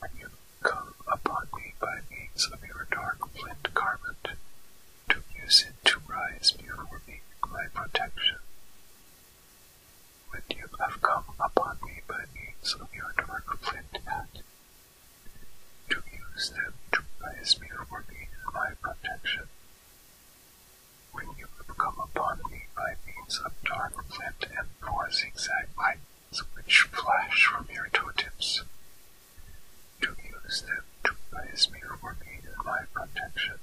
When you come upon me by means of your dark flint garment, to use it to rise before me my protection. When you have come upon me by means of your dark flint hat, to use them to rise before me my protection. When you come upon me by means of dark flint and four zigzag lightnings which flash from your toe to use them to place me for me and my protection.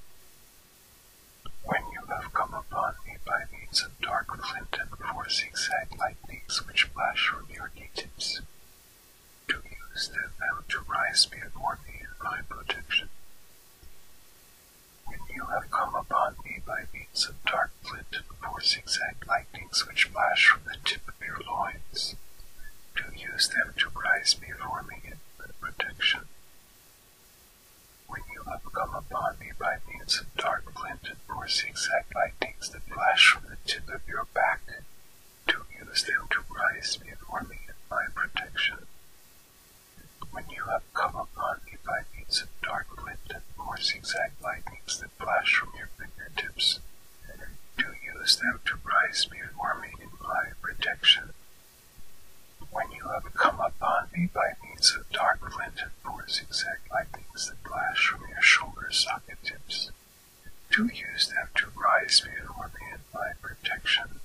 When you have come upon me by means of dark flint and four zigzag lightnings which flash from your knee tips, to use them now to raise me for me and my protection. When you have come upon me by means of dark flint and four zigzag lightnings which flash from the tip of your loins, do use them to rise before me in protection. When you have come upon me by means of dark flint and four zigzag lightnings that flash from the tip of your back, do use them to rise before me in my protection. When you have come upon me by means of dark lit and more zigzag lightnings that flash from your fingertips, do use them to rise before me in my protection. When you have come upon me by means of dark flint and four zigzag lightnings that flash from your shoulder socket tips, do use them to rise before me in my protection.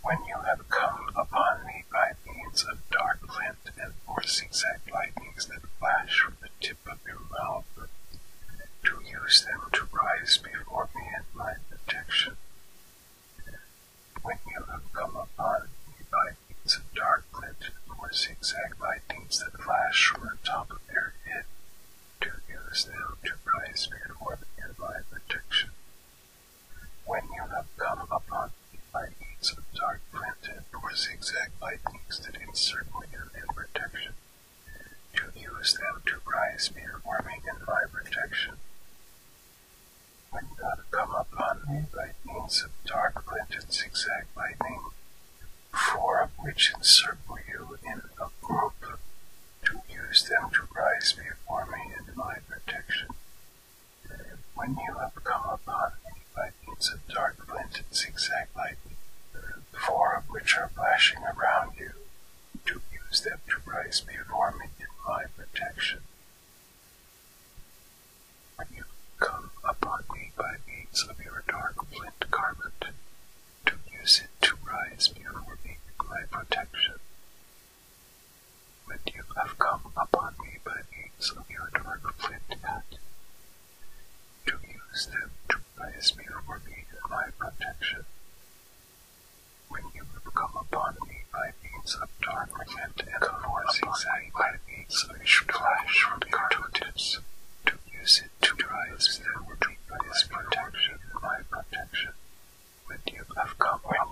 When you have come upon me by means of dark flint and four zigzag lightnings that flash from the tip of your mouth, to use them to rise before me in my protection. When you have come upon me by means of dark flint and four zigzag lightnings that flash from the top of your head, to use them to rise before me in my protection. When you have come upon me by means of dark printed or zigzag lightnings that encircle you in protection, you use them to rise me, warming in my protection. When you have come upon me by means of dark printed zigzag lightning, four of which encircle you in a group, to use them to rise before me in my protection. When you have come upon me by means of dark flint zigzag lightning, four of which are flashing around you, to use them to rise before me in my protection. When you come upon me by means of your dark flint garment, to use it to rise before me in my protection, but you have come upon me by means of your dark flint hat, to use them to praise me for being my protection. When you have come upon me by means of dark flint and forcing me by means of which flash from your totems, to use it to rise them to praise me for being my protection. The tube of cobweb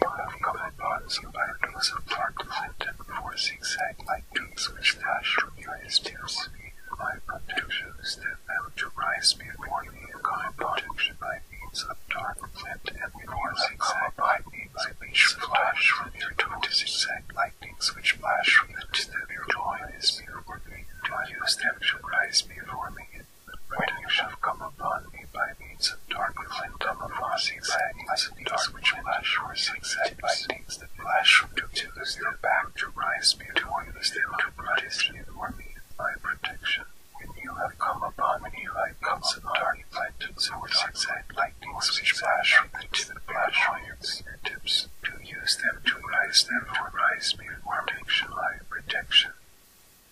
bonds particles of plot presented four zigzag-like tubes which flash from various tips. By protections that fail to rise before the cone protection by means of dark flint and four zigzag by means of which flash from their toe to zigzag lightnings which flash from the to the toy is before me to use them to rise before me. When you shall come upon me by means of darkness and tamavasi lightnings, dark which flash or zigzag lightnings that flash from to to this their back to rise me to one them to rise before me, my protection. When you have come upon me like comes of dark lightnings or zigzag lightnings which flash from the to the flash on your to use them to rise them to rise me for protection, my protection.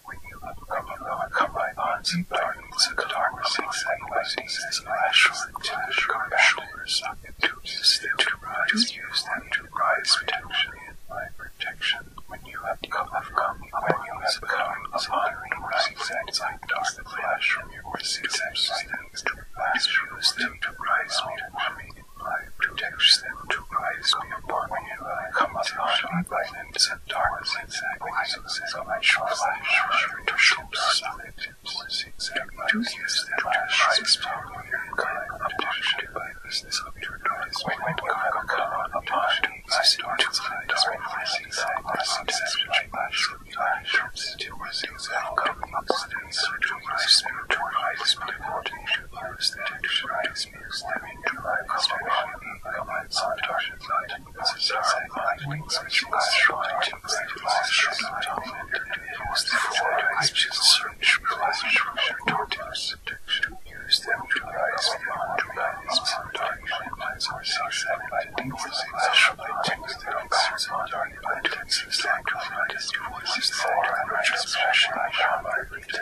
When you have come alive, come alive, odds and darkness of darkness, anxieties, as lash or lash or shores, to use them to rise, use them to rise, protection, my protection. When you have come, have come, when you have come, upon me, rises and dark the flash from your voices, things to rise, use them to rise, me, my protection, them to rise, me upon you, come upon me, and sent darkness and sacrifices of my true flesh, your ships, solids, to use the flash, its power, and current, obliged by business of your noise, when God come upon upon us, darkness, and darkness, and darkness, which much from the eye, turns into mercies, and come upon us, which we spiritual life, spiritual coordination, virus, the texture, is used to provide distribution of command subtargets lighting processors and lightnings to stabilize short dominant and used for IPS search relationship targets to use them to rise beyond to guidance subtarget lines or six and lightning for six shortings the oxygen subtarget items is like to find as devices for and transmission by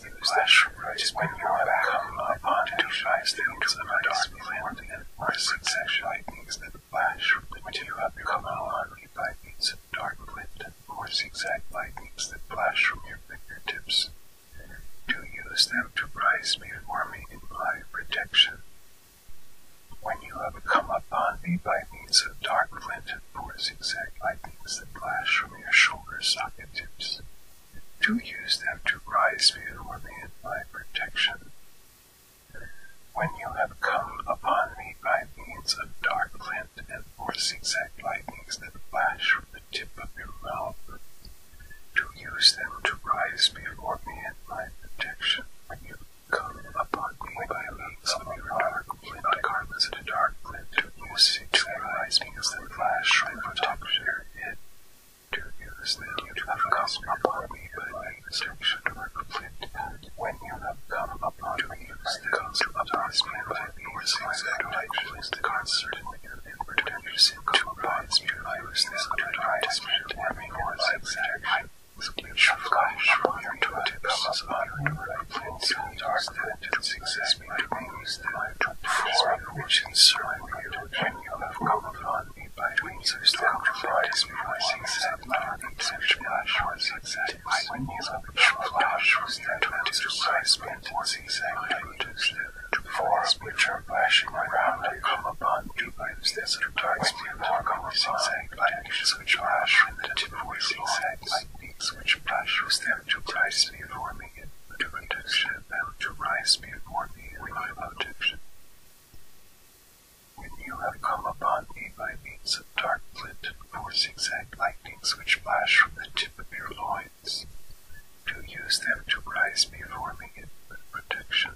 is the clash right when you have come upon two eyes into the dark land and present lightnings that flash when you have come upon lightnings in dark land or zigzag lightnings that flash from your fingertips. Do use them to rise before me in my protection. When you have come upon me by means of dark flint or zigzag lightnings that flash from your shoulder socket tips, do use them to rise before me in my protection. When you have come upon me by means of dark flint and four zigzag lightnings that flash from the tip of your mouth, do use them to rise before me in my protection. When you come upon me by means of your dark flint, regardless of the dark flint, Do use it to rise before me flash from the top of your head, to use that you have come upon me by destruction or conflict, when you have come upon me, I come to advise me by these exact actions concerned and pretenders to advise me by this advertisement having was exact which flash from your tips on your plans and dark that exists between the form which in serving you Many of have come upon me by dreams of still provides me with exact and such flash was exact. My wings of a flash was that to describe me was exact. I reduced them to forms which are flashing around and come upon me by this desert dark spirit or come upon by actions which flash and the tip was exact. My wings which flash was that to prize me for me turning it into to rise before me in my protection. When you have come upon me by means of dark flint and four zigzag lightnings which flash from the tip of your loins, to use them to rise before me in protection.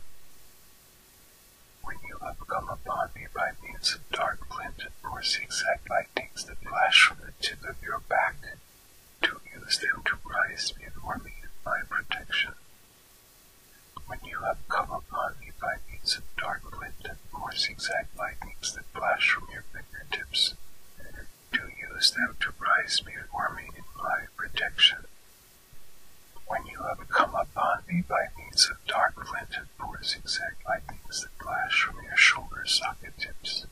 When you have come upon me by means of dark flint and four zigzag lightnings that flash from the tip of your back, to use them to rise before me in my protection. When you have come upon me by means of dark glint and more zigzag lightnings that flash from your fingertips, do use them to rise before me in my protection. When you have come upon me by means of dark glint and more zigzag lightnings that flash from your shoulder socket tips,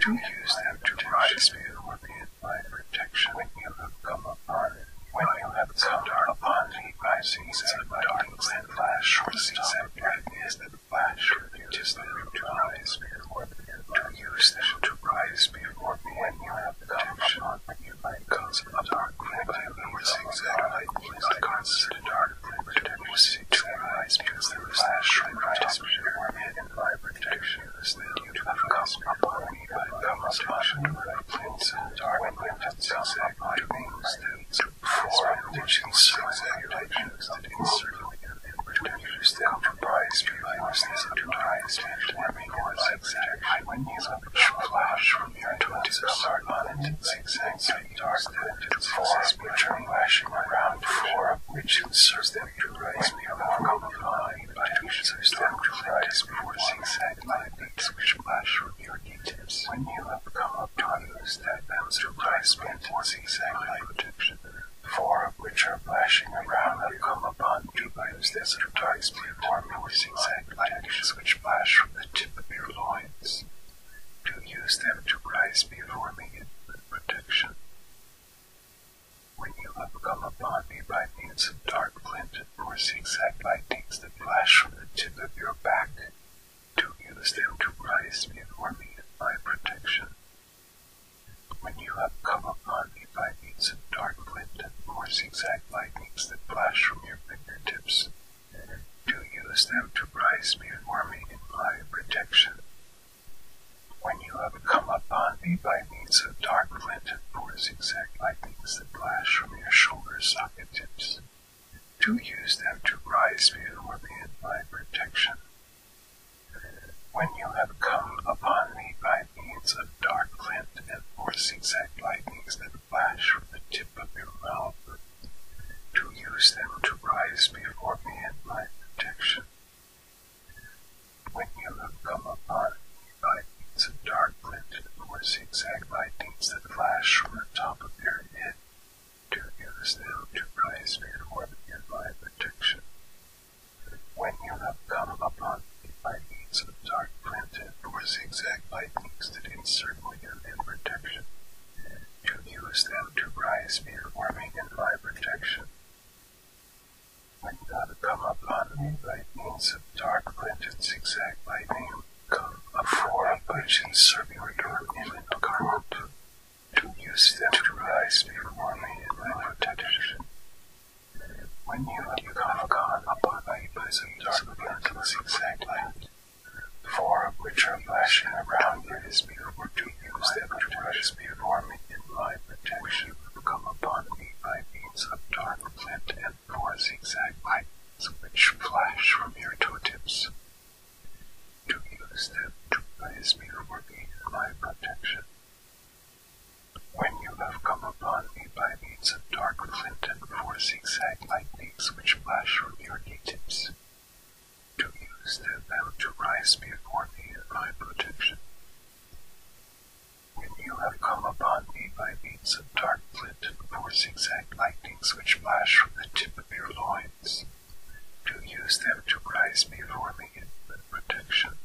do use them to rise before me my protection protection you have come upon. it, When you have come upon me by seasons of darkness and flash, short seasons of brightness that flash, it is them to rise before me, to use them to rise before me. When you have come upon me by cause of dark, when I lose that light, the cause of dark, to rise because the flash, rise before me, and my protection is there huge difficult upon me, but thou must wash under thy plates and dark wind and zigzag my wings that for predictions zigzag legends that insert and predictors that comprise bewildersness and rise and warming or zigzag highways of flash from your twenties of sargon and zigzag dark that forces me turn lashing around of which inserts that to rise beyond the common by which the stem glides before zigzag lightnings which flash from your kneetips. When you have come upon those that bounce to rise before zigzag light protection, four which flash from the tip of your loins. To use them to rise before me in protection. When you have come upon me by means of dark glinted or zigzag lightnings that flash from the tip of your back, do use them to rise before me in my protection. When you have come upon me by means of dark glinted or zigzag lightnings that flash from your fingertips, do use them to rise before me in my protection. When you have come upon me by means of dark flint and poor zigzag lightnings that flash from your shoulder socket tips, do use them to rise before me in my protection. When you have come upon me by means of dark flint and poor zigzag lightnings that flash from the tip of your mouth, do use them to rise before me in my protection. When you have come upon me by means of dark glinted or zigzag lightnings that flash from the top of your head, to use them to rise before the nearby protection. When you have come upon me by means dark glinted or zigzag lightnings that encircle you in protection, to use them to rise before me in my protection might not come upon me by means of dark blended zigzag lightning, of four of which in circular dark image garment, to use them to rise before me in my protection. When you have come upon me by some dark blended zigzag light, four of which are flashing around me as before to use them to precious before me in my protection me in my protection. When you have come upon me by means of dark flint and four zigzag lightnings which flash from your knee to use them to rise before me in my protection. When you have come upon me by means of dark flint and four zigzag lightnings which flash from the tip of your loins, do use them to rise before me in the protection.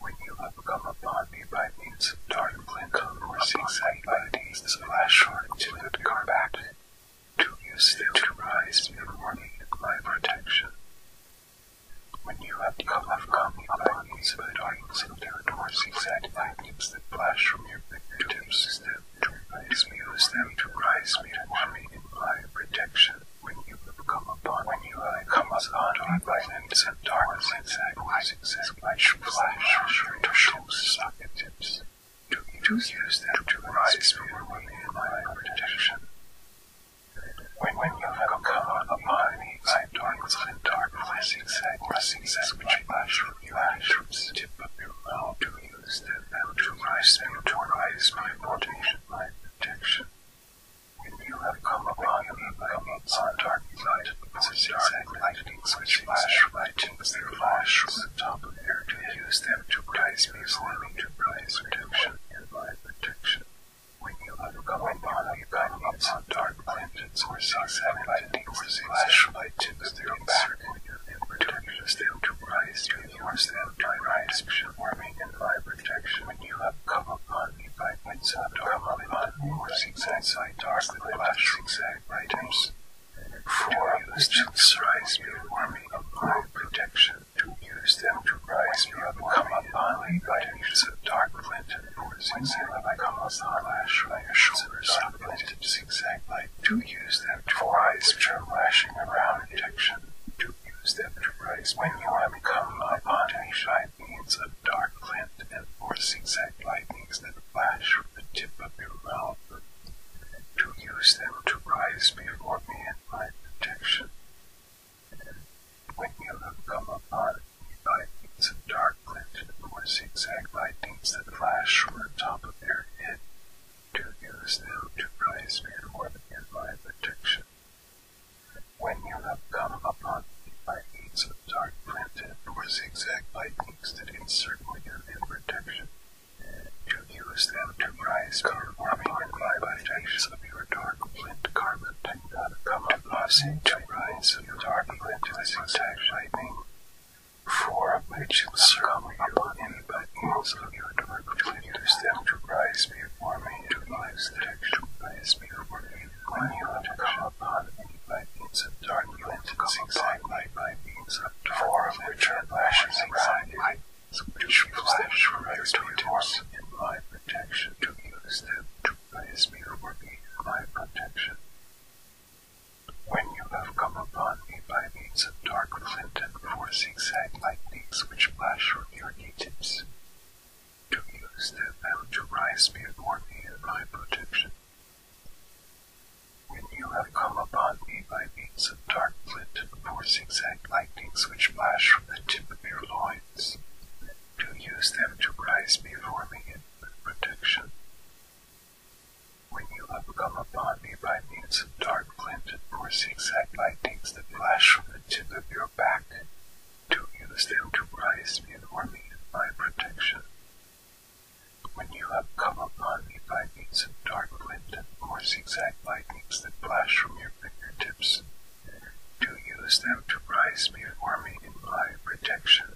When you have come upon me by means of dark flint and four zigzag lightnings which flash from the tip of your back, do use them to rise before me in the protection. When you have come upon these darkness and territories, the lightnings that flash from your victims, them to rise me, use them to rise me, and me imply protection. When you have come upon, when you have come upon darkness and darkness, exact lightnings that flash from your victims, to use them to rise me, in my protection. When wind level cover the body by dark side dark pressing side pressing side which flash from your eyes from the tip of your mouth to use them and to rise them to rise my protection my protection. When you have come upon you become outside dark light pressing side lightning which flash lighting their flash from the top of air to use them to rise me slowly to rise protection and my protection. When you overcome a mono, you can get some dark planets or sucks animating for the flashlight tips their back when you protectors them to rise, you force them to rise, warming and fire protection. When you have come upon you can get some dark planets or zigzag side dark flash zigzag items. For you, the rise, you warming and fire protection to use them to rise me come upon me by degrees dark flint and poison sailor I come upon lash by a shoulder dark flint and zigzag light to use them to rise lashing around detection to use them to when you have come upon any shy means dark flint and or zigzag lightnings that flash from the tip of your mouth to use them to before me in my protection and when you have come upon lightnings of dark glinted or zigzag lightnings that flash from the top of their head, to use them to rise before the nearby protection. When you have come upon lightnings of dark glinted or zigzag lightnings that encircle you in protection, to use them to rise before the nearby protection rise of your dark flint garment, come to us to rise of your dark flint as exact lightning. For which circle upon any but ears of your dark flinters them to rise before me, to lives that actually rise before me. When you have come upon any by means of dark flint, come upon me by means of dark, which are lashes around you which flash prior to attempts in my protection to use them to praise me for my protection. When you have come upon me by means of dark flint and four zigzag lightnings which flash from your knee-tips, to use them and to rise before me in my protection. When you have come upon me by means of dark flint and four zigzag lightnings which flash from the tip of your loins, to use them to rise before me in protection. When you have come upon me by means of dark flint and zigzag lightnings that flash from the tip of your back, to use them to rise before me in my protection. When you have come upon me by means of dark flint and more zigzag lightnings that flash from your fingertips, to use them to rise before me in my protection.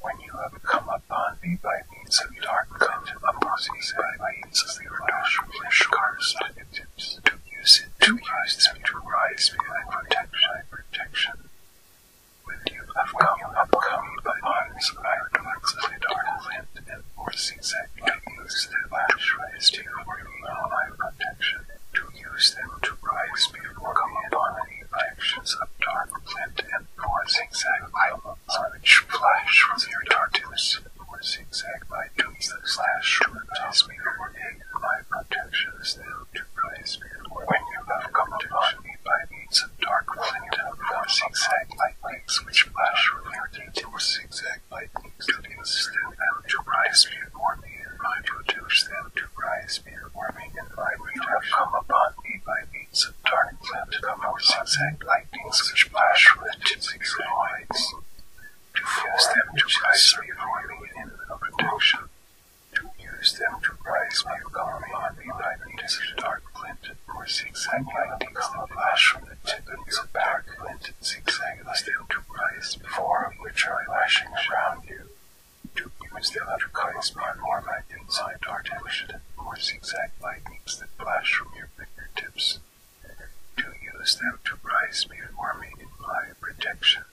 When you have come upon me by means of dark come upon me by means of your dark shores to use it to rise them to rise before protection. my protection. When you have come upon me by means of dark dark land, and or zigzag use their lash rays to perform their life protection, to use them to rise before coming upon any actions of dark flint and or zigzag items which flash from their darkness or zigzag by doing the slash to rise before a life protection is them to rise before when you have come upon me by means of dark flint and or zigzag lightnings which flash from their or zigzag to system and to rise, beer warming and my produce them to rise, beer warming and I would have come upon me by means of dark plant come or zigzag lightnings which flash with tipping points to force them to prize beer warming in the production to use them to prize beer come upon me by means of dark plant or zigzag lightnings that flash from the tippings of dark plant and zigzag hang less than two price which literally lashing around you. To use the undercutting spot more by inside dart action or zigzag lightnings that flash from your fingertips. To use them to rise before me my protection.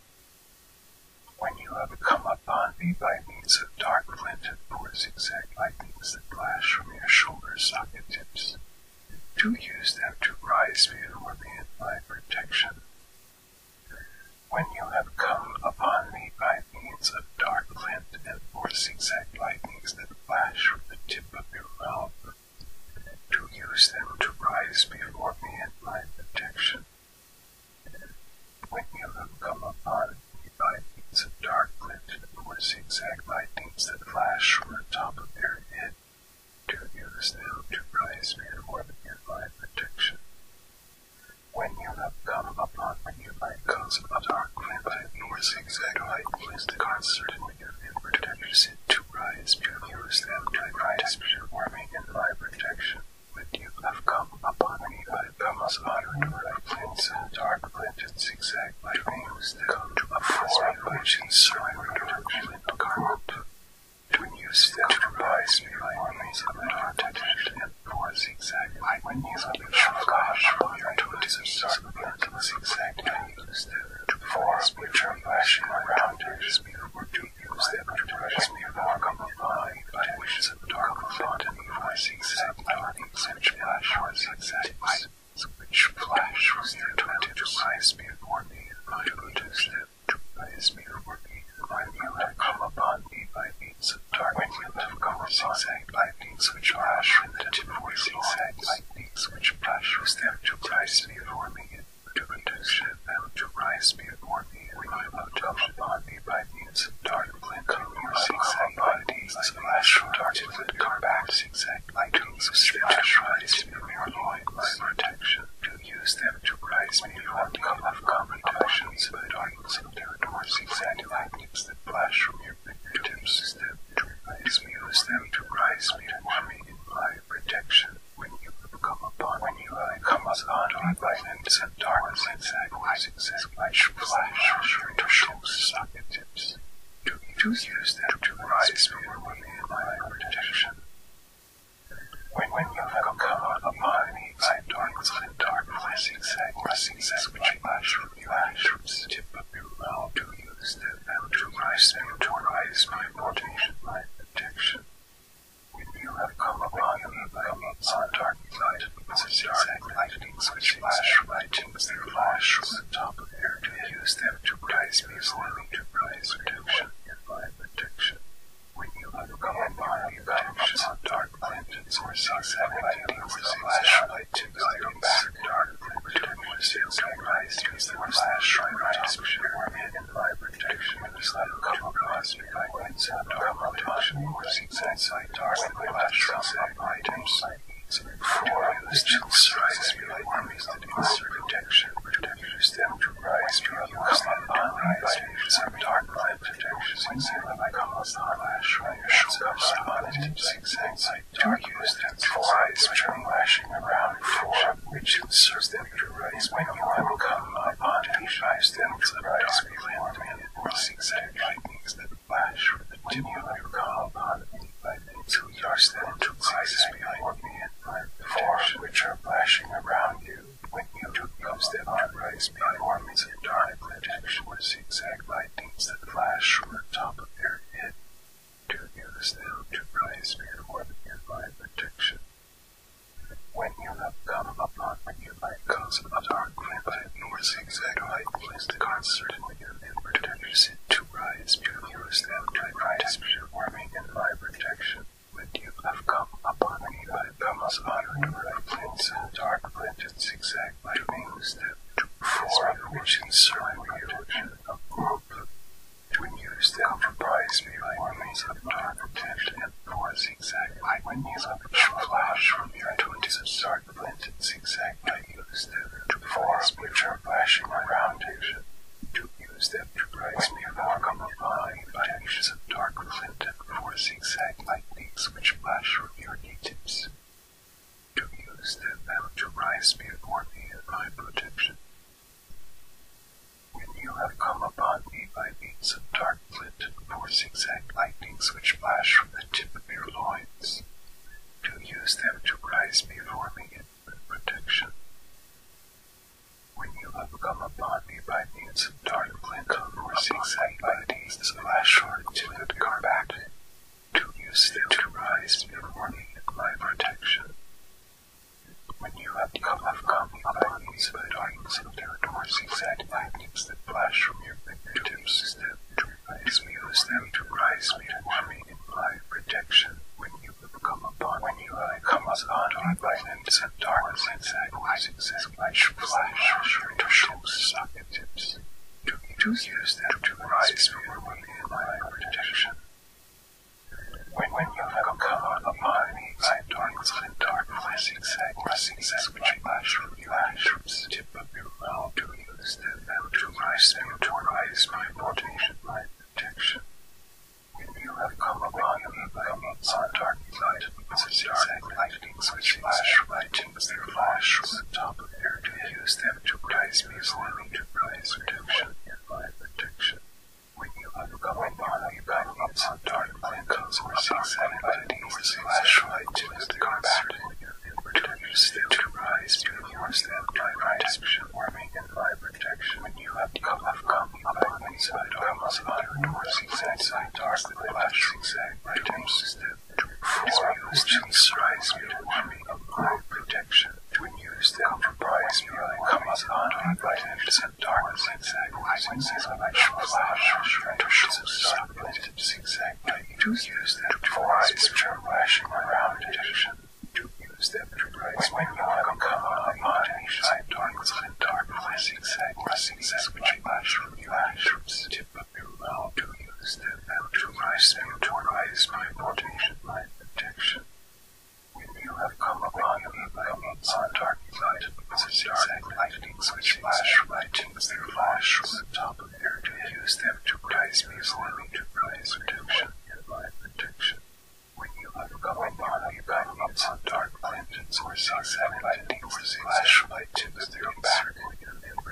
When you have come upon me by means of dark flint and or zigzag lightnings that flash from your shoulder socket tips, to use them to rise before me in my protection. When you have come upon me by means of dark flint and four zigzag lightnings that flash from the tip of your mouth, to use them to rise before me in my protection. When you have come upon me by means of dark flint and four zigzag lightnings that flash from the top of your head, Two use them to prize men or the nearby protection. When you have come upon a nearby cause of dark rampant or zigzag light, place the cards certainly and protectors in to prize men. Use them to prize men or nearby protection. When you have come upon a nearby cause of dark plants and dark plants and zigzag light, use them to a form which is certain protection flint garment, when used to devise formulas of an architect and for zigzag light when used on the shore from your twenties or circumference of zigzag to use them to form spiritual fashion around it before to use them to dress me for combined by wishes of dark and evil zigzag light, such flash or zigzag which flash was retorted to rise before me, my motives to rise before me, when you have come upon me by means of darkness, when you have come zigzag lightnings which flash from the two four zigzag lightnings which flash was there to rise before me, to produce them to rise before me, when you have come upon me by means of dark blink, your zigzag lightnings flash from dark would come back zigzag items of Scripture rise me before my protection, to use them to rise me before the of competitions, but darkness of their doors, exact lightnings that flash from your fingertips, use them to rise me, to rise me in my protection. When you come upon, when you come upon dark lightnings and darkness, exact lightnings that flash, flash, to show socket tips to, use them to rise before me in my protection. When, when you have come upon me by darkness and dark blessings and blessings which flash from your eyes from the tip of your mouth, to use them to rise them to rise my protection, When you have come upon me by means of dark light and dark which flash from my from the top of your to use them to rise is before enterprise protection, environment protection. When you uncover bio collections on dark planets or society with a flashlight to guidance, dark protection is utilized as the flashlight protection or environment protection is not come across guidance and dark protection or seeks insight dark flashlight items. Four, the chill strides me like armies God's protection, delivers them to rise from the Muslim rise from darkness, protection, by cause the lash, by your shoulders, abundance, anxiety, to use them for eyes which are lashing around for which serves them to rise when you have come upon and drives them to rise beyond me, or six lightnings that flash with the tip of your calm upon me two yards then two places behind me and my four which are flashing around you when you do use them to rise before me in dark protection with zigzag lightnings that flash from the top of your head. Do use them to rise before and my protection. When you have come upon me, you might cause a dark glimpse or zigzag light, place the concert when your protection sit to rise because them to advise warming and my protection. When you have come upon me, I come as honored right plants and dark planted zigzag by wings that to perform which in serving protection of group. When you stand for prize me, I of dark planted and more zigzag light when you have flash from your twenties of dark planted zigzag. I use them to form which are flashing around it, to use them to prize me overcome by means of dark flint and four zigzag lightnings which flash from the of your knee-tips, to use them now to rise before me in my protection. When you have come upon me by means of dark flint and four zigzag lightnings which flash from the tip of your loins, to use them to rise before me in protection. When you have overcome a body by means of dark clinker or zigzag lighting, this flash short to the combat, to use them to rise before me and my protection. When you have come of coming by means of darkness and territories, exact lightnings that flash from your fingertips, them to rise me, use them to rise me and me in my protection. When you come upon when you I uh, come as on by them set darkness and sad voices as flash flash to shows sockets to to use them to rise before me in my protection. When when you have come upon me I darkness and dark blessings and blessings as which flash from you ash from the tip of your mouth to use them to rise them to rise my protection my protection. When you have come upon me by means of dark light, the arc which flash right into their flash from the top of their to use them to praise me for me to praise protection in my protection. When you have come upon me by means of dark lightnings which flash right into their combat, to use them to praise me for them to praise protection for me and fire protection. When you have come, have come, come inside, come outside, door seeks inside, dark with flash, zigzag, right times step, four questions, rise, me, fire protection. When you use them for prize, me, come outside, right times and dark, zigzag, poisons, is a flash, flash, right times dark, zigzag, right, you use them for eyes, which are flashing around, addiction to use them to rise when you have become a imagination of darkness and darkness zigzag or zigzag which flash from your ashes tip of your mouth to use them and to rise and to rise by portation by protection. When you have come upon me, come upon dark light, possess dark lightnings which flash lightings their flash from the top of your to use them to rise me for me to rise protection and by protection. When you uncover a model, you might need some dark lanterns or six lighting or flashlight to the their back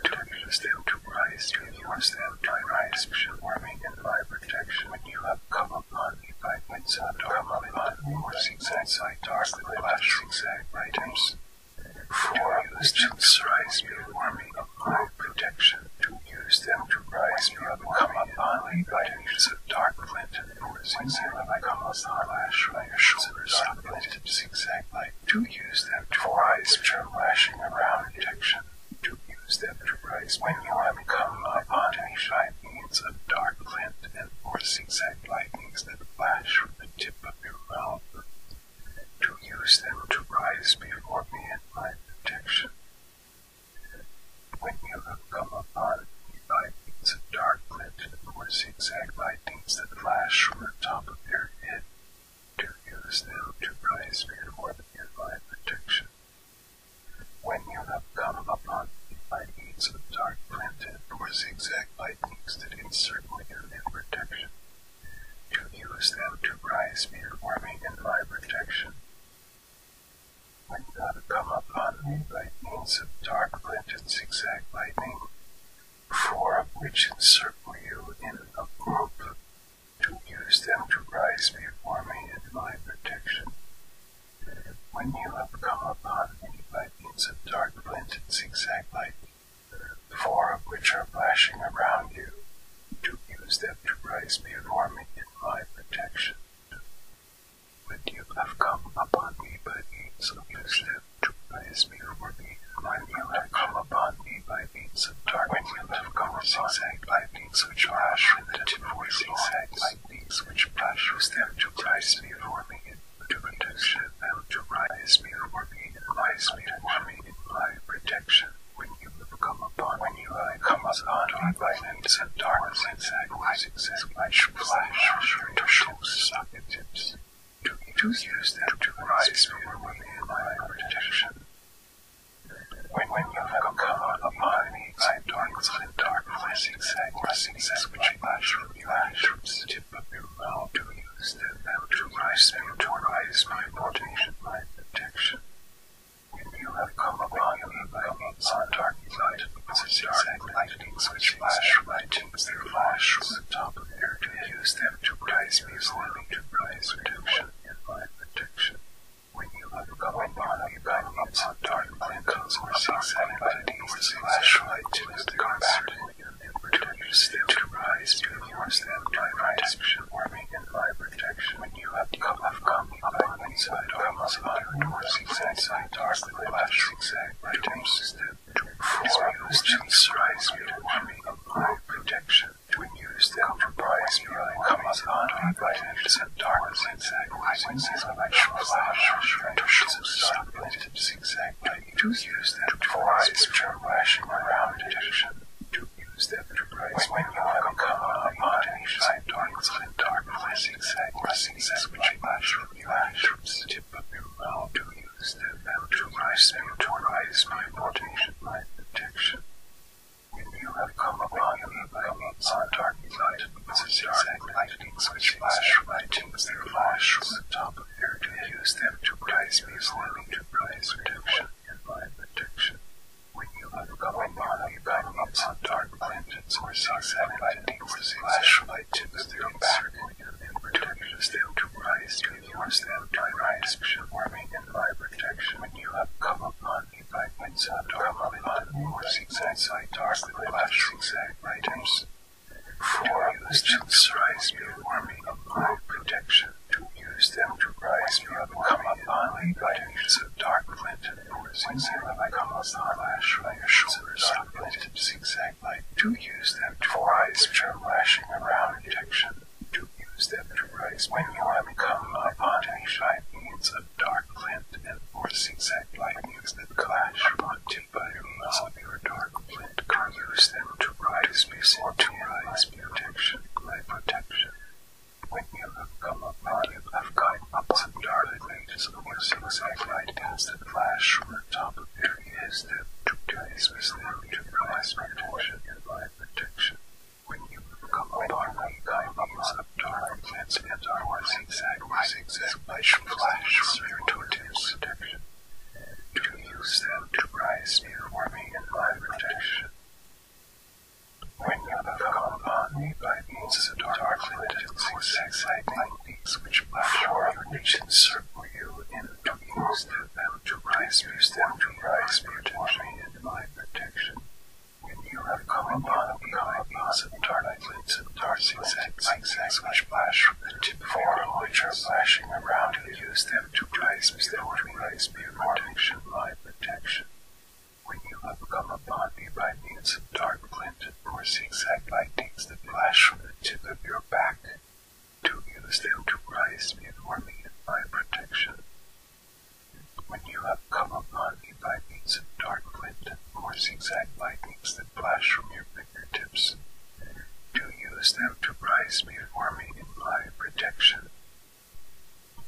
to use them to rise to use them to rise warming and my protection. When you have come upon me by need some dark lanterns or zigzag side dark flash zigzag lighters. For use to rise warming of my protection to use them to rise come upon me by leaves of dark flint and poison them come upon lash by your shoulders uplifted zigzag like to use them to rise which are lashing around protection to use them to rise when you have come upon me by means of dark flint and or zigzag lightnings that flash from the tip of your mouth to use them to rise before me in my protection when you have come upon by means of dark darkness or zigzag lightnings that flash from the top of your head, to use them to praise me for the protection. When you have come upon the lightnings of dark planted or zigzag lightnings that encircle you in protection, to use them to praise me me in my protection. When you have come upon me by means of dark glinted zigzag lightning, four which encircle you in a group, to use them to rise before me in my protection. When you have come upon me by means of dark glinted zigzag lightning, four which are flashing around you, to use them to rise before me my protection. When you have come upon me by means of your to praise me me, when you have come upon me by means of darkness, when you have come by means of trash, with the voice exact by means which flash was there to praise me me, to protection, to praise me me, praise me for me, my protection when you come upon when you lie uh, comes on by lightnings and darkness and sacrifices and flash flash to shows sockets to to use them to rise from within my protection. When when you have come upon me and darkness and darkness and sacrifices as which flash from you ash from the tip of your mouth to use them now to rise them to rise my protection my protection. If you have come upon me by means of dark night, such dark lightnings which flash from my tombs, their flash from the top of their to use them to praise me for me to praise protection and my protection. When you have come upon me by means of dark lightnings or zigzag lightnings which flash from my tombs, their flash to use them to praise me, use them to praise me for me and my protection when you have the cup of cum, upon one side, come as iron or zigzag side, darkly flash zigzag, right times step, for questions rise me to army of my protection, to use them for prize me, come as iron, right times and dark zigzag, rising is a match flash, to show stop, zigzag, to use them for eyes which are flashing around detection, to use that enterprise when, when you have come upon any side darkness and darkness zigzag or which flash from the lash from the tip of your mouth to use them now to rise them to rise my When you have come upon me by means of dark light, lightnings which flash from my flash from the top of your to use them to rise me, to rise protection and by protection. When you have come upon me by means of dark planets or sacrificing for the flashlight to the their back, and produces them to rise to yours them to rise, performing in my protection. When you have come upon me by means of dark planets or sacrificing dark flashing items, for you still rise before me of my protection to Use them to rise me up come upon me by degrees of dark flint and poison sailor I come upon lash by your shoulders of flint and zigzag light. Do use them to rise which are lashing around detection. Do use them to rise when you have come upon me by means of dark flint and or zigzag lightnings that clash upon tip by means of your dark flint. Do use them to rise before to rise protection, my protection. When you have come upon it, I've caught ups and dark images of your suicide flight past that flash from the top of your ears that took today's mistake to realize my attention and my protection. When you have come upon me, kindness of dark glance and our zigzag my zigzag flash from your totem's protection. To use them to rise before me in my protection. When you have come upon me by means of the dark limited six lightning beams which flash over your nation circle you in to use them to rise, use them to rise, protect me my protection. When you have come upon me by means of dark lids of dark zigzags, zigzags which flash from the tip of your which are flashing around you, use them to rise, use them to rise, be protection, my protection. When you have come upon me by means of dark glinted and zigzag lightnings that flash from the tip of your back, to use them to rise before me in my protection. When you have come upon me by means of dark glinted or zigzag lightnings that flash from your fingertips, do use them to rise before me in my protection.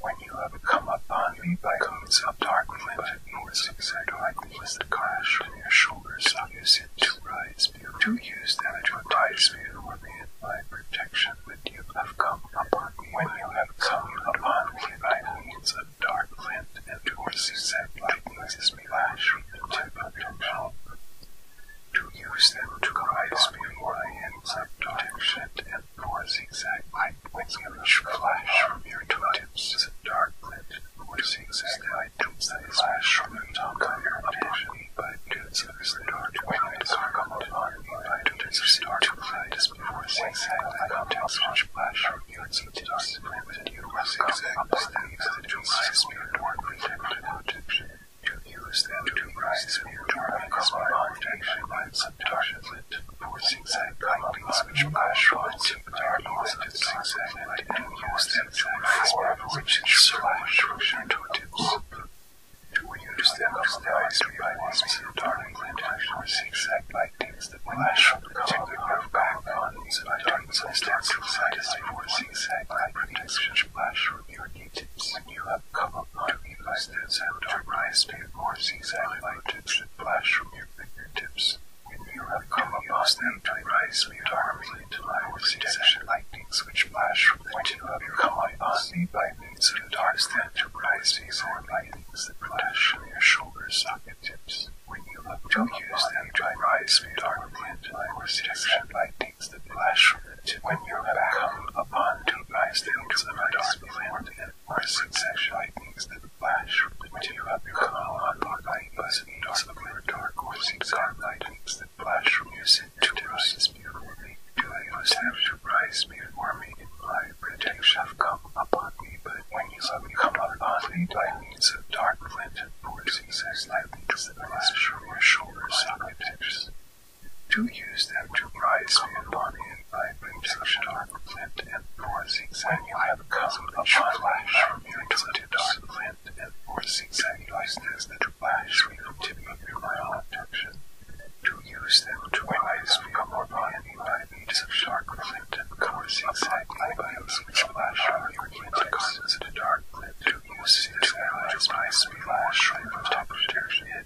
When you have come upon me by codes of dark flint, nor zigzag likeness the clash on your shoulders, I use it to rise you, to use them to rise you for me in my protection. When you have come upon me, when you have come upon me by means of dark flint, and nor zigzag likeness is me lash into potential, to use them to rise me for my ends of protection and or zigzag light with yellowish flash from your tooltips is a dark glint or zigzag light tubes that flash from your top of your attention by tubes of the dark windows are common by tubes of dark light before zigzag light contacts which flash from your tooltips limited you will zigzag sleeves the tubes of spirit or protected protection to use them to rise in your dark common protection by subtarget foot, or zigzag lightnings which flash from its dark and zigzag and used them to inform which is flash from your toe tips. We use them as the eyes to balance the dark glint or zigzag lightnings that flash from the collar of backbones and darkness and stand to side as for zigzag lightnings which flash from your knee tips when you have covered I these that and dark rice before these highlight tips should flash from your fingertips. When you have come across them to rise me darkly to my protection lightnings which flash from the tip of your come upon me by means of darts that to rise these or lightnings that flash from your shoulder socket tips. When you look to use them to rise me darkly into my protection lightnings that flash from it. when you have come upon to rise them to my dark land Parsons actually thinks that Flash would do up become a Buckeye as a dark dark horse and Carmine thinks that Flash from your to rise before me, doing must have to rise before me in my protection have come upon me, but when you let me come upon me by means of dark flint and forces, I think that Flash from your shoulders, I do use them to rise upon it by perception of the plant and for zigzagging them come upon flash from your tilted dark plant and for zigzagging license that flash we have tip of your mild objection, to use them to rise become upon any by beats of sharp plant and come zigzagging by which flash from your plant comes into dark plant to use it to rise by splash from top protection.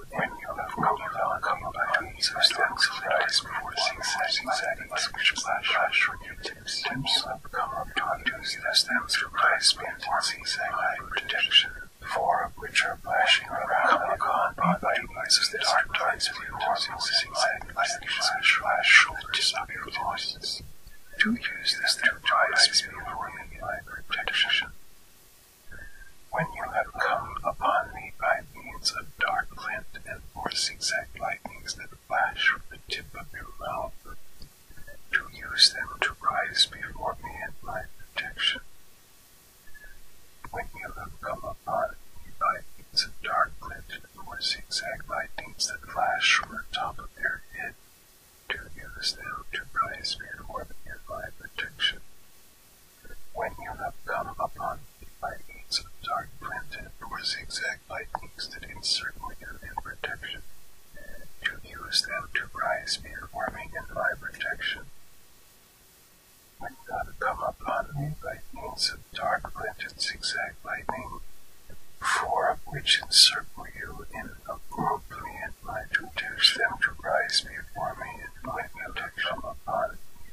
when you have Coca-Cola coming by and substance flickers before six seconds, which flash flash with your tips. Tips up come up to induce the stem's replacement in zigzag protection, four of which are flashing around the con body as the dark tides before six zigzag flash flash will disappear voices. Do use this to try to speed for the protection. When you have come upon me by means of dark glint and four zigzag lightnings that flash from the tip of your mouth, to use them to rise before me in my protection. When you have come upon me by means of dark glint and four zigzag lightnings that flash from the top of your head, to use them to rise before me in my protection. When you have come upon it by means of dark printed or zigzag lightnings that encircle you in protection, to use them to rise mere warming in my protection. When you have come upon me by means of dark printed zigzag lightning, four which encircle you in a group, and might induce them to rise before me light protection. On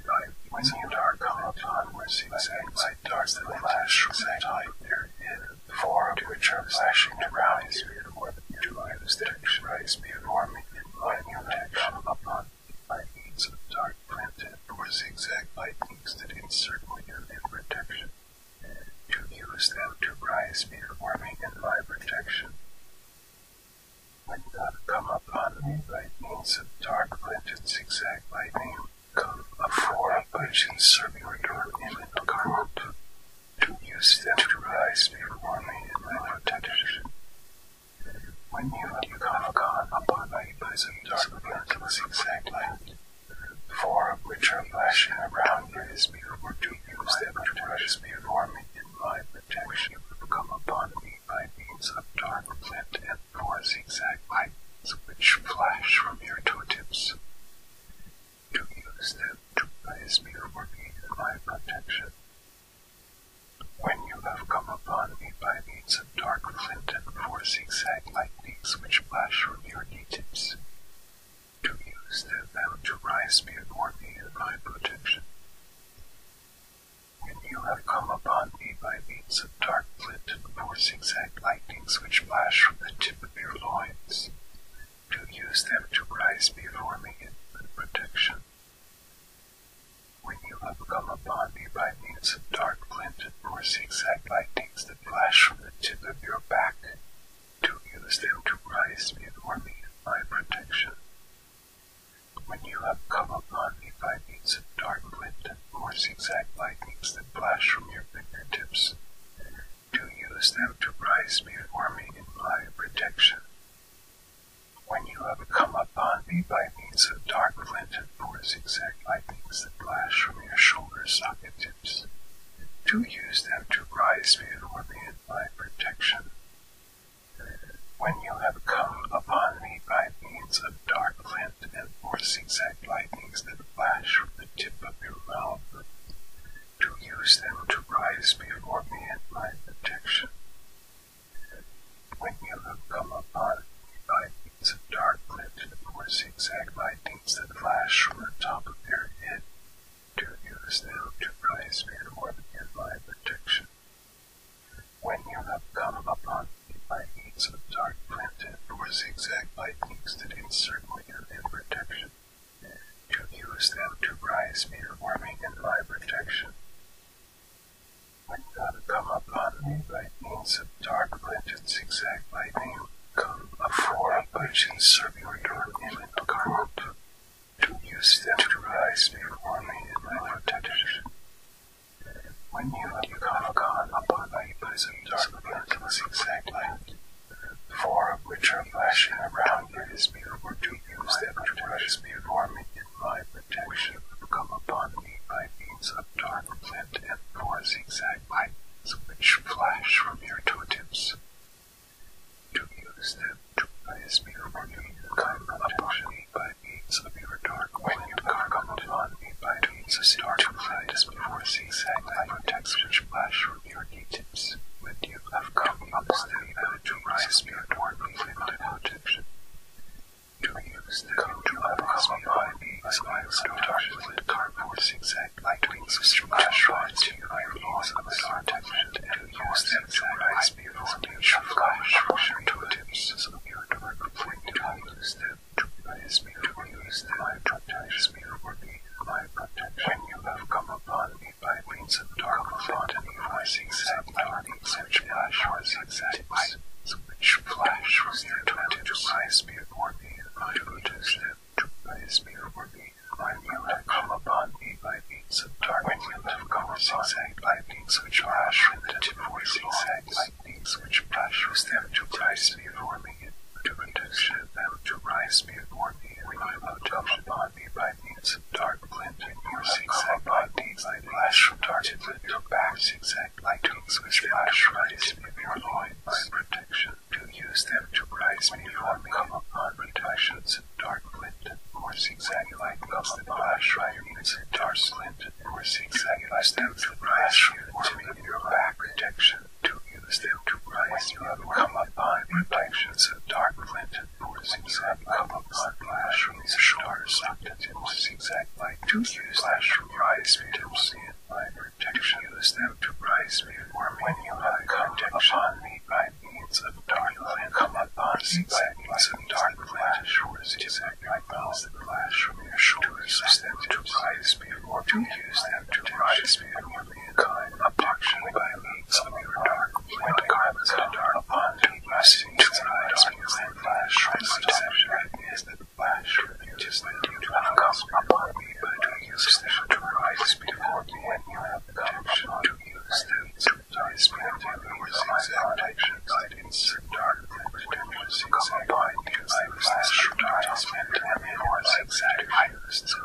night, when the dark comet on receives light darts that flash from that type there in the form to which are flashing to rise before the two items detection rise before me in light protection upon by means of dark printed or zigzag lightnings that encircle you in protection. To use them to rise before me in my protection might not come upon me by means of dark glinted zigzag lightning, come afore which in circular door image current, to use them to rise before me in my protection. When you, you come upon my bosom dark glinted zigzag light, four of which are flashing around me is before to use them to rise before me my protection would come upon me by means of dark flint and four zigzag lights which flash from your toe To use them to praise me for being my protection. When you have come upon me by means of dark flint and four zigzag lightnings which flash from your knee to use them to rise me for me in my protection. When you have come upon me by means of dark flint and four zigzag lightnings which flash from the tip of your loins, to use them to rise before me in my protection. When you have come upon me by means of dark flint and four zigzag lightnings that flash from the tip of your back, to use them to rise before me in my protection when you have come upon me by means of dark wind and more zigzag lightnings that flash from your fingertips, do use them to rise before me in my protection. When you have come upon me by means of dark flint and four zigzag lightnings that flash from your shoulder socket tips, do use them to rise before me in my protection. When you have come upon me by means of dark flint and four zigzag lightnings that flash from the tip of your mouth, to use them to rise before me in my protection. When you have come upon me by means of dark flint and four zigzag lightnings that flash from the top of your head, to use them to rise before me in my protection. When you have come upon me by means of dark printed or zigzag lightnings that encircle me in protection, to use them to rise me, warming in my protection. When you have come upon me by means of dark printed zigzag lightning, come a form which encircle you in a garment to use them to rise before me in my protectorship. When you have come upon my bosom dark murderous zigzag, light, four of which are flashing around you is before to use them to rise before me in my protection come upon me by means of dark flint and four zigzag lights which flash from your toe to use them to place me for the kind projection by means of your dark wind come upon me by means of star to light as before zigzag that protects which flash from your tips when you have come upon them and to rise me toward me without protection. To use them to uprise me by means of my star to light for zigzag light wings of flash rise to my laws of the and use them to rise the advantage of Gaia's rushing to attempts as a mere direct reflect to use them to praise me to use them my protection me for me my protection when you have come upon me by means of dark botany rising sapling such flash was exact which flash was there to rise me for me my protection to praise me for me when you have come upon me by lightnings of darkness with the conversing exact which flash with the divorcing exact lightnings which flash with them to rise before me, to protection of them to rise before me, when I looked up upon me by means of dark and years exact lightnings I flash from darted with your backs exact lightnings which flash rise before loins, my protection, to use them to rise before me, come upon protections units of dark flint or zigzag-like of the brush or units of dark flint or zigzag-like stems with brush forming your back protection to use them to rise you have come upon protections of dark flint or zigzag-like of the brush from these shores or zigzag-like to use flash from rise victims in my protection use them to rise me or when you have contact upon me by it's a dark lamp come up on inside it's a dark flash or is it like balls that flash from your shoulders use them to rise before to use them to rise before mankind abduction by means of your dark flint garments and dark bond to rise to rise before flash from my deception is that flash refuses that you do not come upon me but to use them to rise before me when you have the to use them to his painting was examined that in dark and was examined because there was this advertisement and it was exactly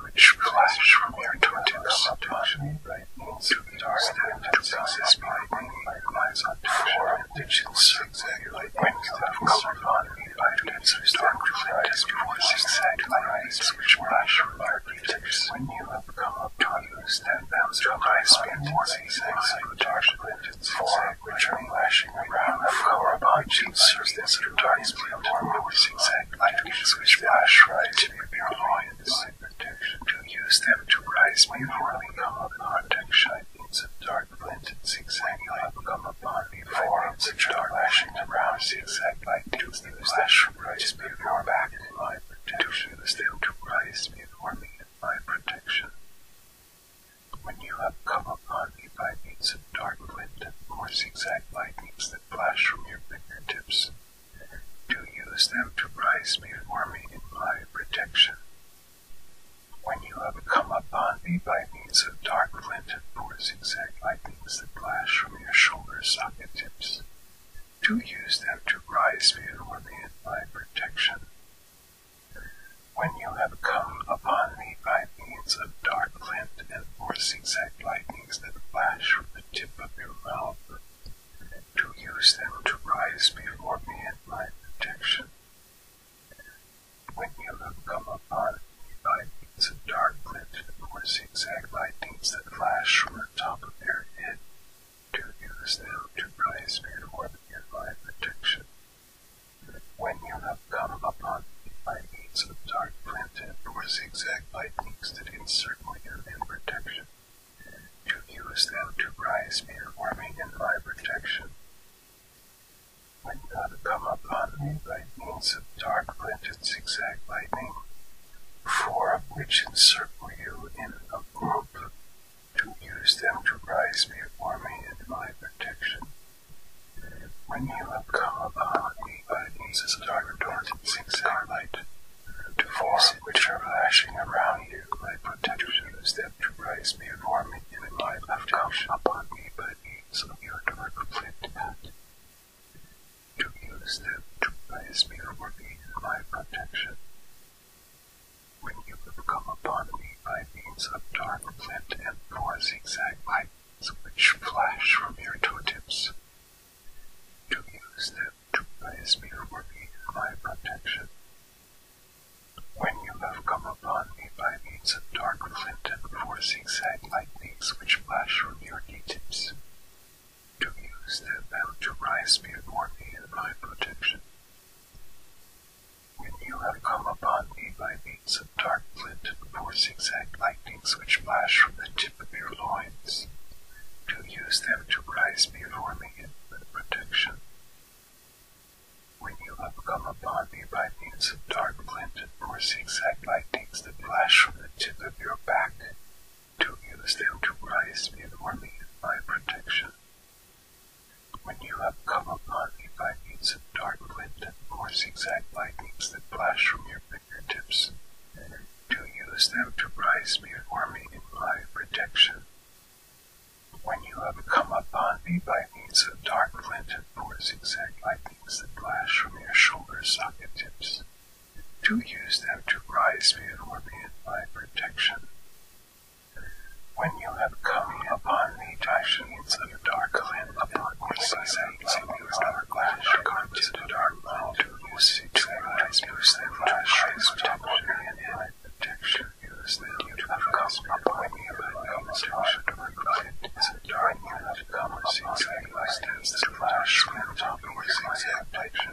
which flash from your tortoise upon me into the and to possess by me lies on four digits exactly wings that have colored on me by dance of dark light as before exactly eyes which flash from your tortoise when you have come to use them to high speed warning signs of return windows for which are flashing around the floor of objects serves as a return speed warning with zigzag lightnings which flash right to be paranoids. To use them to rise before they come upon dark beams of dark zigzag light come upon the forms which are flashing around zigzag lightnings that flash to rise before back in my protection, to still to rise before me in my protection. When you have come upon me by means of dark flint and more zigzag lightnings that flash from your fingertips, do use them to me for me in my protection. When you have come upon me by means of dark flint and more zigzag lightnings that flash from your shoulder socket tips, to use them to rise before me in my protection. When you have come upon me by means of dark glint and four zigzag lightnings that flash from the tip of your mouth, to use them to rise before me in my protection. When you have come upon me by means of dark glint and four zigzag lightnings that flash from the top of your head, to use them to rise before the divine protection. When you have come upon me by means of dark planted or zigzag lightnings that encircle you in protection, to use them to rise before me in my protection. When you have come upon me by means of dark planted zigzag lightning four which encircle you in a group, to use them to rise before me in my protection. When you have come upon me by means of dark dancing starlight, to force which are lashing around you, my protection is to rise before me in my left come upon me by means of your dark flint to use them to praise me for being my protection. When you have come upon me by means of dark flint and four zigzag lights which flash from your toe to use them to praise me my protection. When you have come upon me by means of dark flint and four zigzag lightnings which flash from your knee tips, to use them to rise before me in my protection. When you have come upon me by means of dark flint and four zigzag lightnings which flash from the tip of your loins, to use them to rise before me in my protection. When you have come upon me by means of dark flint and four zigzag lightnings that flash from the tip of your back, to use them to rise before me in my protection. When you have come upon me by means of dark wind or zigzag lightnings that flash from your fingertips, to use them to rise before me in my protection. When you have come upon me by means of dark flint and four zigzag lightnings that flash from your shoulder socket tips, to use them to rise before me in my protection. When you have come upon me, Dyshians of dark land, upon me, sunsets of dark land, garments of dark land, to use it to rise, use them to rise upon me in my protection. Use them to rise upon me in my protection. Dark land, garments of dark land, to rise, use them to rise upon me in my protection.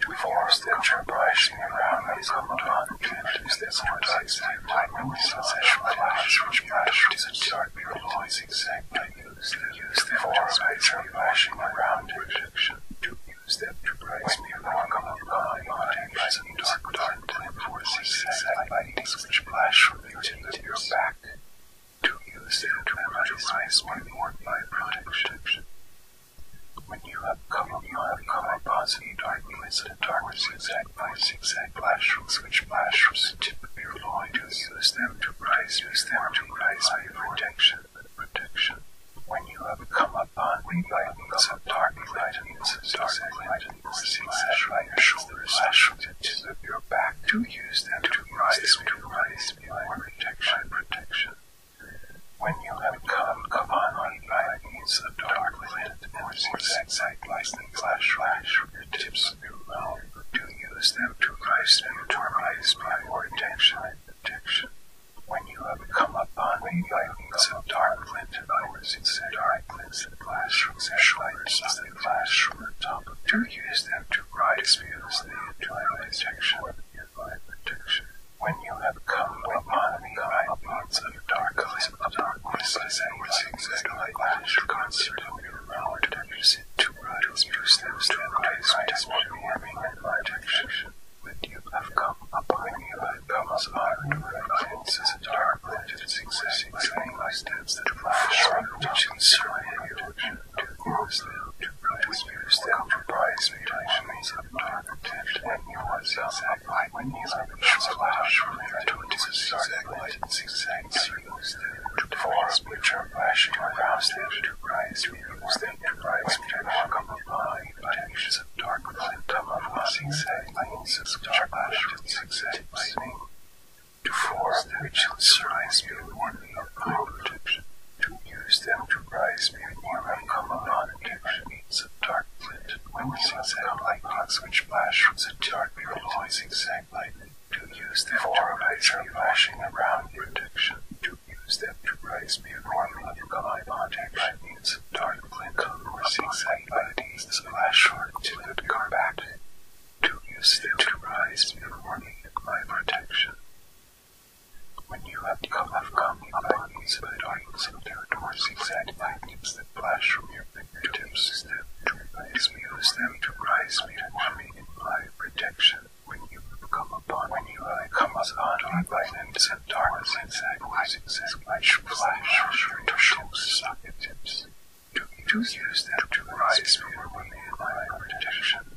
to force the Tribalism around his commandant to influence their supporters and blackmail his succession clash which matched his entire realities exactly used the force of Tribalism around protection to use them to praise me along commandant bodies and dark dark forces exactly which clash from the your back to use it to energize one more protection. When you have come, when you have come upon the darkness, the darkness zigzag by zigzag flashers, which flashers tip of to use them to rise, to rise by protection, protection. When you have come upon me by means of dark lightnings, dark lightnings, slash by your shoulders, slash the tip of your back, to use them to rise, to rise, by protection, protection. When you have come upon light by means of dark lint or zigzag lightning flash flash the tips of your mouth, do use them to rise and torment by your attention detection. When you have come upon me by means of dark lint or zigzag and lint flash flash flash from the top, do use them to rise views the intuitive detection divine protection. When you have come when upon me, come upon the darkness of darkness, as I was exactly like flash concert of your knowledge that you sit to rise, you steps to rise, as warming and my protection. When you have come upon me, I come as iron remains as a dark legend, existing, exactly steps that flash, which in certain to force them to produce use them to price mutations of architect and you was zigzag when you have a flash from there to light and zigzag use them to force picture flash to arouse them to price use them to price mutations come upon mutations of dark light come upon zigzag lines of flash and zigzag lightning to force them which surprise me warning of my protection to use them to rise before uncommon non-detection means a dark flint witnessing sound lightnings which flash from the dark realizing sound lightning to use them for to rise flashing around protection to use them to rise before uncommon non-detection means a dark flint witnessing sound lightnings flash or to the car back to use them to rise before my protection when you have come, have come upon these plains and territories exact lightnings that flash from your fingertips is them to rise me, use them to rise me to me imply protection. When you have come upon, when you have come upon lightnings and darkness exact lightnings as much flash from your fingertips socketips, to use them to rise me and my protection.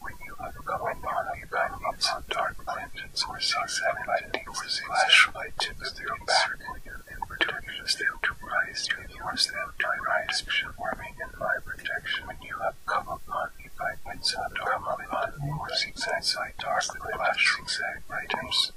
When you come upon a companion on dark planets or seas lightning or flashlight tips their back and protects them to rise and yours them to rise, warming in my protection. When you have come upon a companion on dark planets or seas dark flashlight lightnings,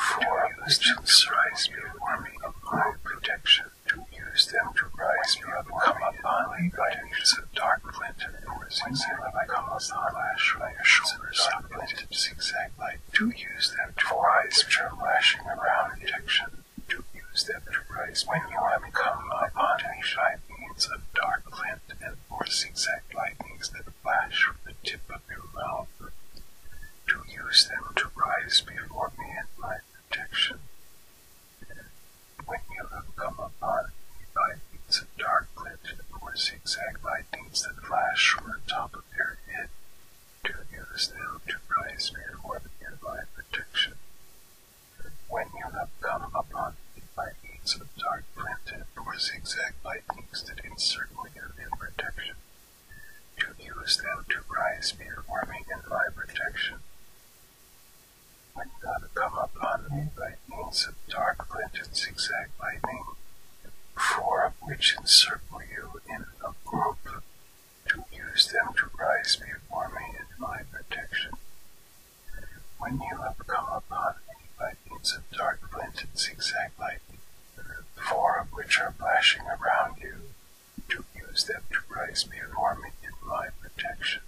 for you still rise, warming in my protection to use them to rise me up or come upon me by days of dark flint and poison I come upon lash my shoulders of flint and zigzag light, to use them to rise which are lashing around detection, to use them to rise when you have come upon any shy beams of dark flint and or zigzag lightnings that flash from the tip of your mouth, to use them to rise before me and my when you have come upon it by of dark glitches or zigzag lightnings that flash from the top of your head, do use them to rise before the nearby projection. When you have come upon it by of dark glinted or zigzag lightnings that encircle you in protection, to use them to rise before me in my protection. When God come upon me by means of dark flint and zigzag lightning, four of which encircle you in a group, to use them to rise before me in my protection. When you have come upon me by means of dark flint and zigzag lightning, four of which are flashing around you, to use them to raise me and harm me in my protection.